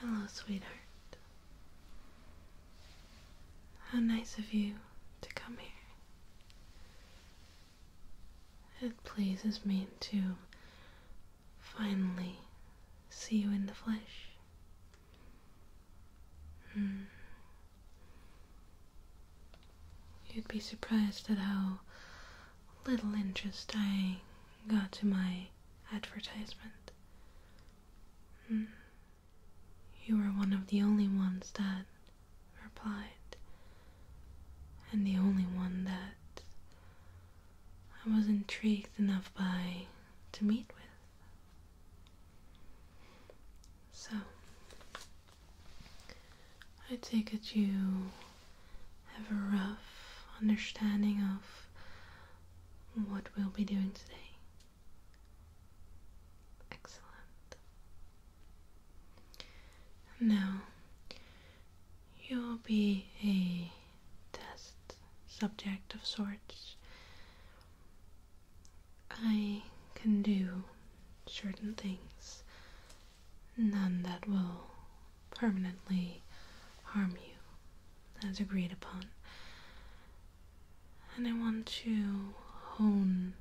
Hello, sweetheart. How nice of you to come here. It pleases me to finally see you in the flesh. Hmm. You'd be surprised at how little interest I got to my advertisement. Hmm. You were one of the only ones that replied, and the only one that I was intrigued enough by to meet with. So, I take it you have a rough understanding of what we'll be doing today. Excellent. Now, you'll be a test subject of sorts. I can do certain things, none that will permanently harm you as agreed upon. And I want to hone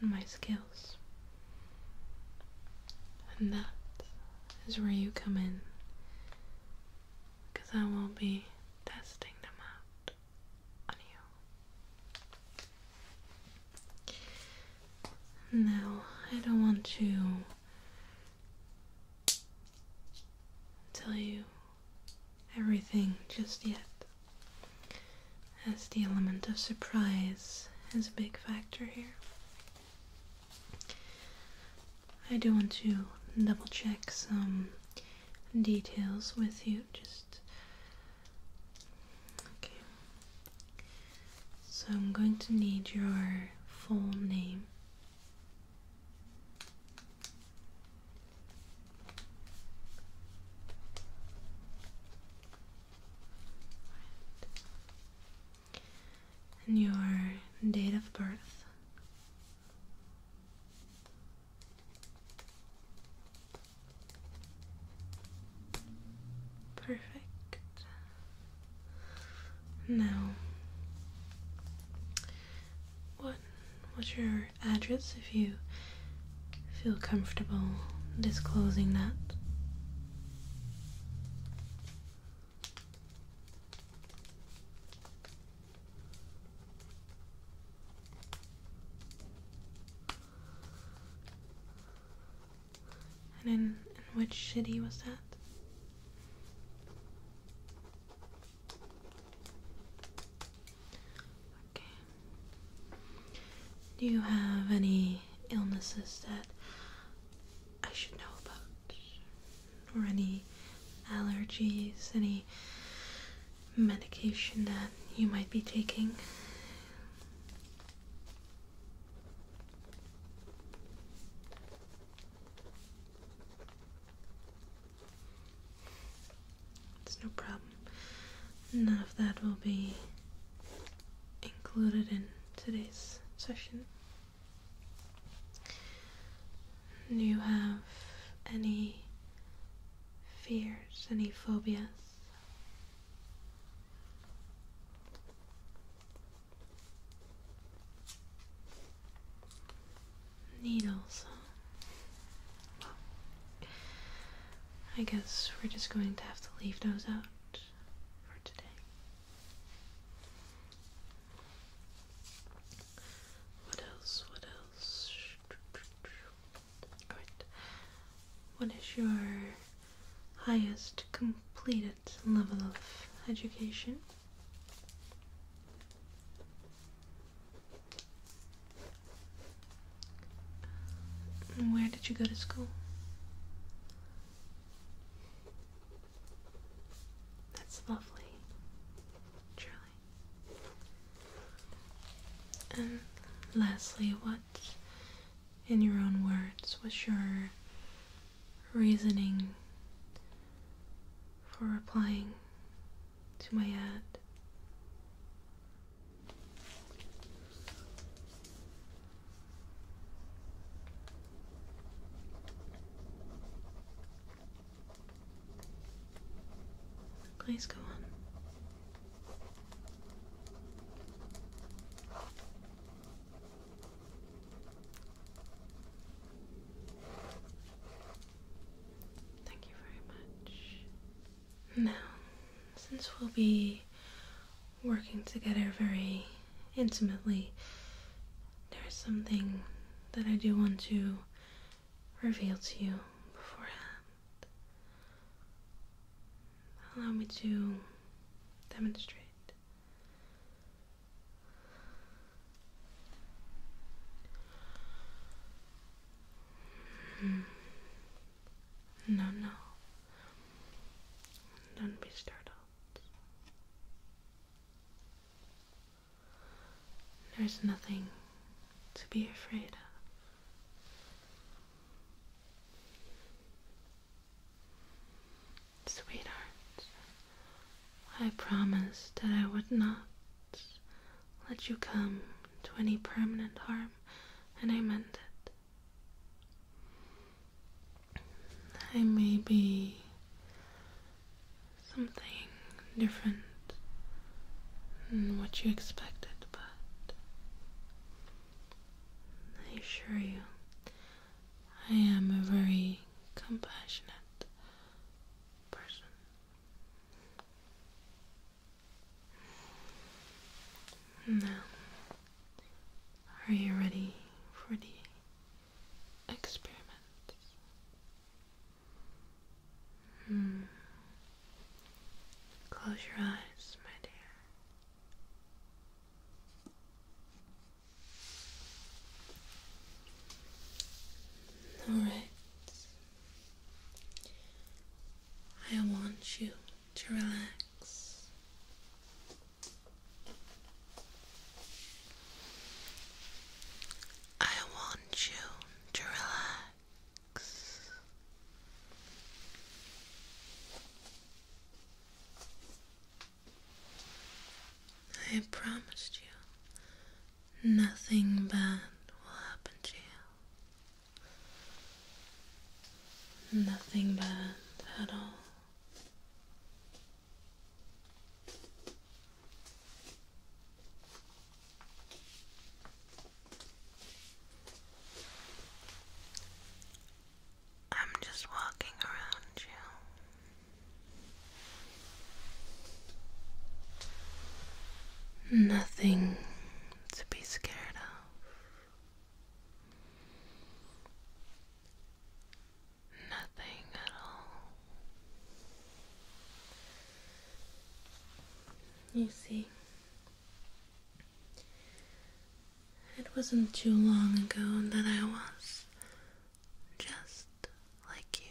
my skills. And that is where you come in. Because I will be testing them out on you. Now, I don't want to tell you everything just yet, as the element of surprise is a big factor here. I do want to double check some details with you, just okay. So I'm going to need your full name and your date of birth. Perfect. Now, what what's your address if you feel comfortable disclosing that? And in, in which city was that? Okay. Do you have any illnesses that I should know about? Or any allergies, any medication that you might be taking? It's no problem. None of that will be included in today's session. Do you have any fears, any phobias? Needles. I guess we're just going to have to leave those out for today. What else? What else? Right. What is your highest completed level of education. where did you go to school? That's lovely, truly. And lastly, what, in your own words, was your reasoning for replying to my ad. Please go on. Thank you very much. Now, since we'll be working together very intimately, there's something that I do want to reveal to you beforehand. Allow me to demonstrate. No, no. Don't be startled. There's nothing to be afraid of. Sweetheart, I promised that I would not let you come to any permanent harm, and I meant it. I may be something different than what you expected, but I assure you I am a very compassionate person. Now, are you ready for the experiment? Hmm. Close your eyes, my dear. All right. I want you to relax. I want you to relax. I promised you nothing bad will happen to you. Nothing bad at all. I'm just walking around you. Nothing to be scared of. Nothing at all. You see, it wasn't too long ago that I was just like you.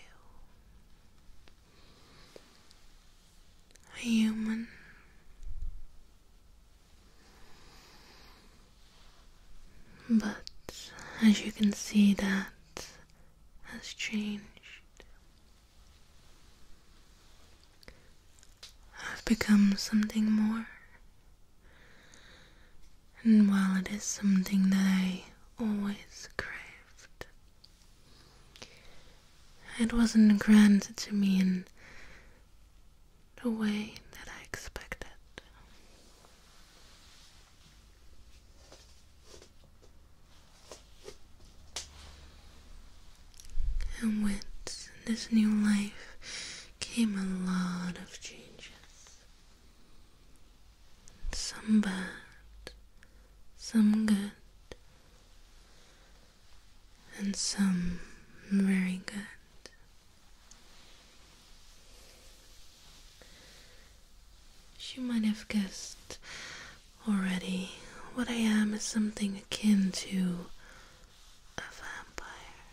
A human. But as you can see, that has changed. I've become something more and while it is something that I always craved, it wasn't granted to me in the way that I expected. And with this new life came a lot of changes. Some bad, some good, and some very good. She might have guessed already what I am is something akin to a vampire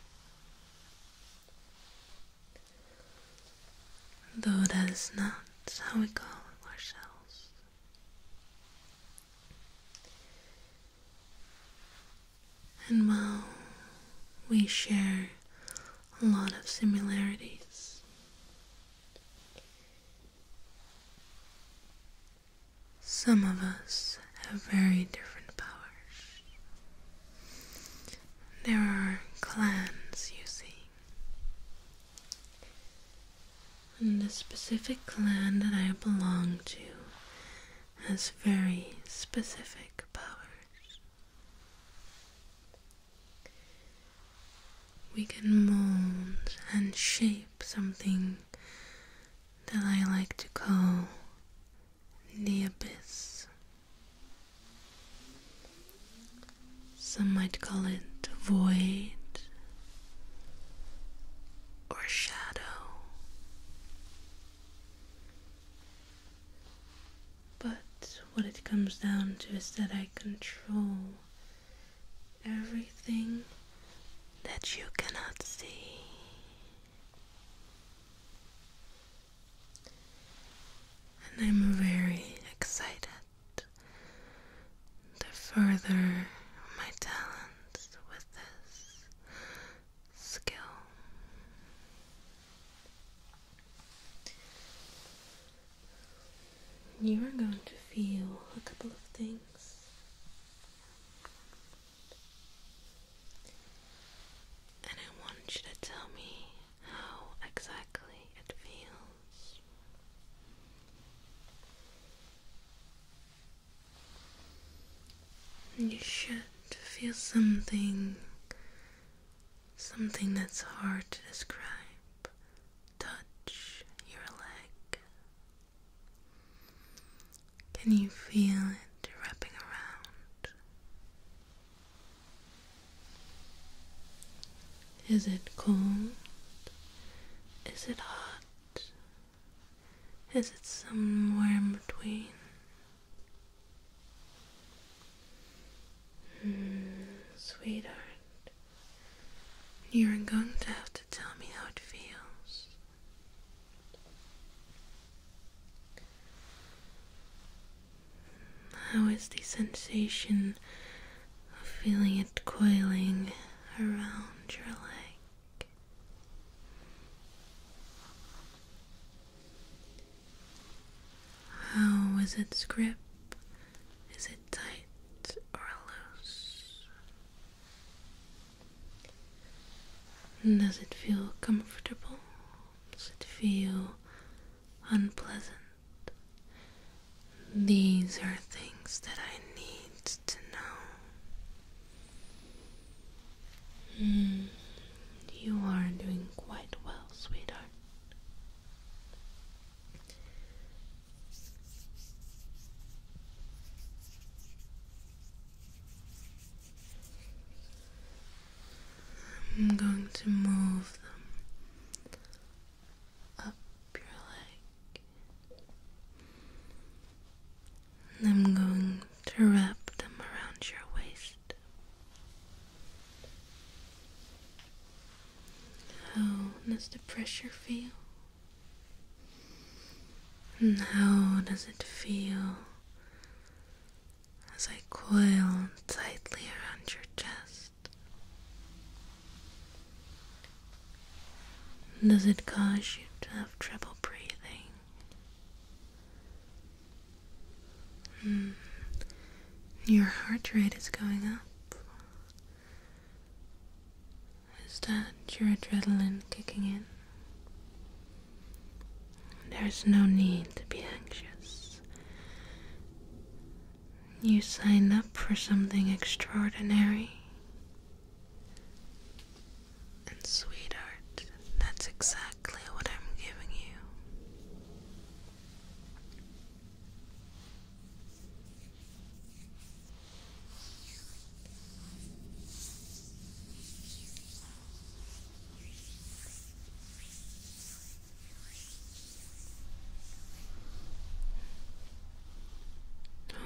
though that is not how we call ourselves. And while we share a lot of similarities, some of us have very different powers. There are clans, you see. And the specific clan that I belong to has very specific powers. We can mold and shape something that I like to call the abyss. Some might call it void or shadow, but what it comes down to is that I control everything that you cannot see. And I'm very excited The further my talents with this skill. You are going to feel a couple of things. And I want you to tell me how exactly it feels. You should feel something, something that's hard to describe. Touch your leg. Can you feel it wrapping around? Is it cold? Is it hot? Is it somewhere in between? Hmm, sweetheart, you're going to have to tell me how it feels. How is the sensation of feeling it coiling around your leg? How is its grip? Is it tight or loose? Does it feel comfortable? Does it feel unpleasant. These are things that I need to know. Hmm, you are doing quite well, sweetheart. I'm going to move them up your leg. And I'm going to wrap them around your waist. How does the pressure feel? And how does it feel as I coil tightly around your chest. Does it cause you to have trouble breathing? Hmm. Your heart rate is going up. Is that your adrenaline kicking in? There's no need to be anxious. You sign up for something extraordinary. And, sweetheart, that's exactly what I'm giving you.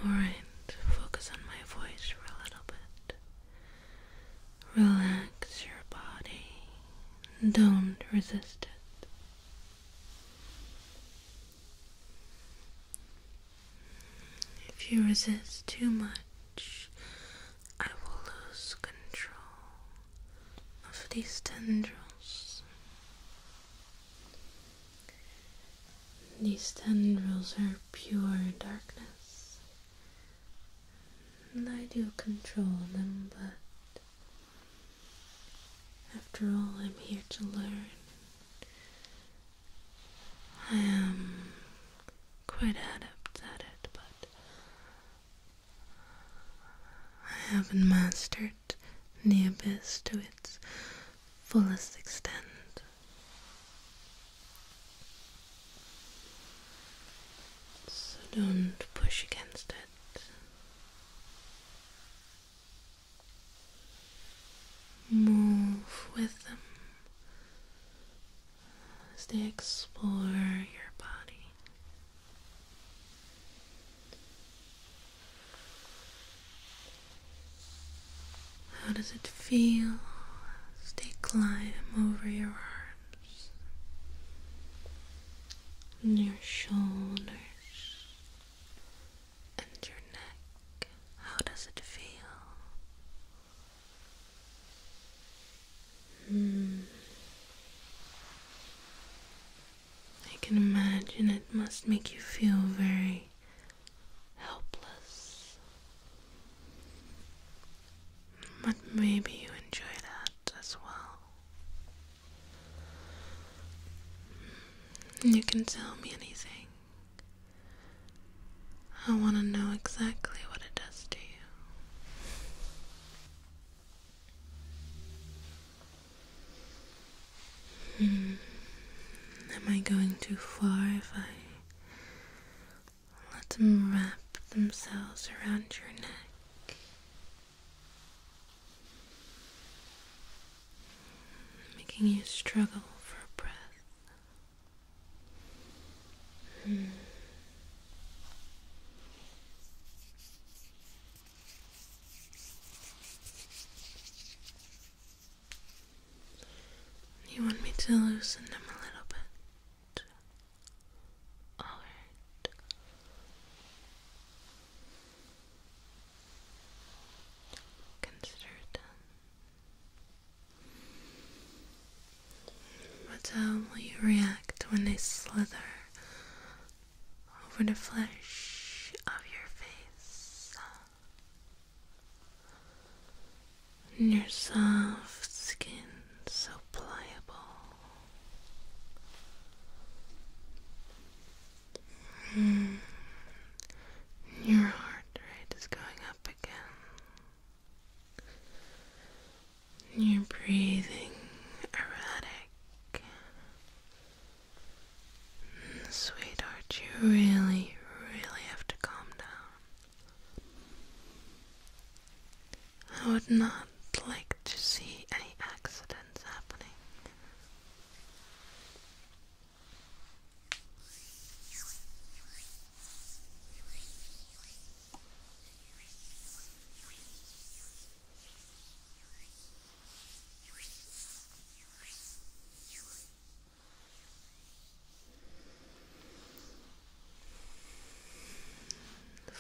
Alright, focus on my voice for a little bit. Relax your body. Don't resist it. If you resist too much, I will lose control of these tendrils. These tendrils are pure darkness, and I do control them, but after all, I'm here to learn. I am quite adept at it, but I haven't mastered the abyss to its fullest extent. So don't push against it. Move with them as they explore your body. How does it feel as they climb over your arms and your shoulders and your neck? How does it feel Hmm. I can imagine it must make you feel very helpless. But maybe you enjoy that as well. Hmm. You can tell me anything. I want to know exactly what it does to you. Hmm. Am I going too far if I let them wrap themselves around your neck? Making you struggle for breath. Hmm. You want me to loosen them a little bit? Alright. Consider it done. But how will you react when they slither over the flesh of your face? And your soft skin so pliable. Hmm. Your heart rate is going up again. You're breathing erratic. Sweetheart, you really, really have to calm down. I would not like to see any accidents happening.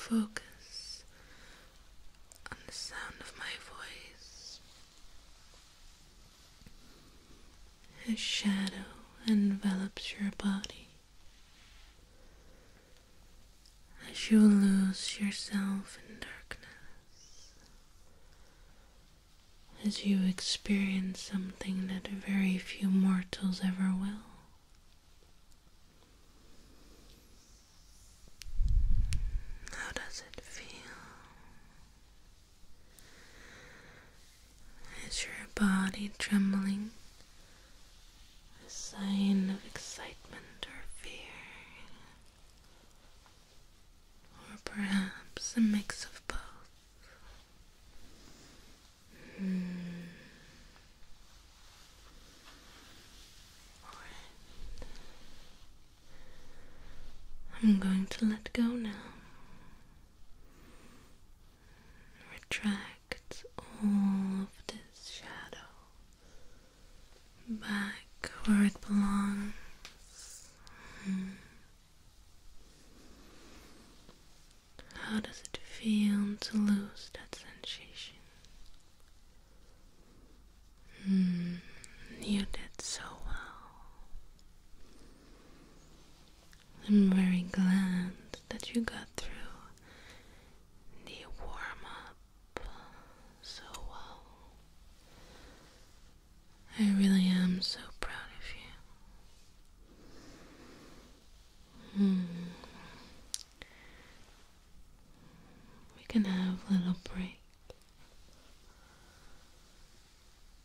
Focus on the sound of my voice. A shadow envelops your body as you lose yourself in darkness, as you experience something that very few mortals ever will. How does it feel? Is your body trembling a sign of excitement or fear, or perhaps a mix of both. Hmm. I'm going to let go now. Retract reflects all of this shadow back where it belongs. How does it feel to lose that sensation? Hmm, you did so well. I'm very glad that you got through the warm up so well. Um, I really am so proud of you. Hmm. We can have a little break.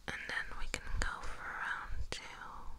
And then we can go for round two.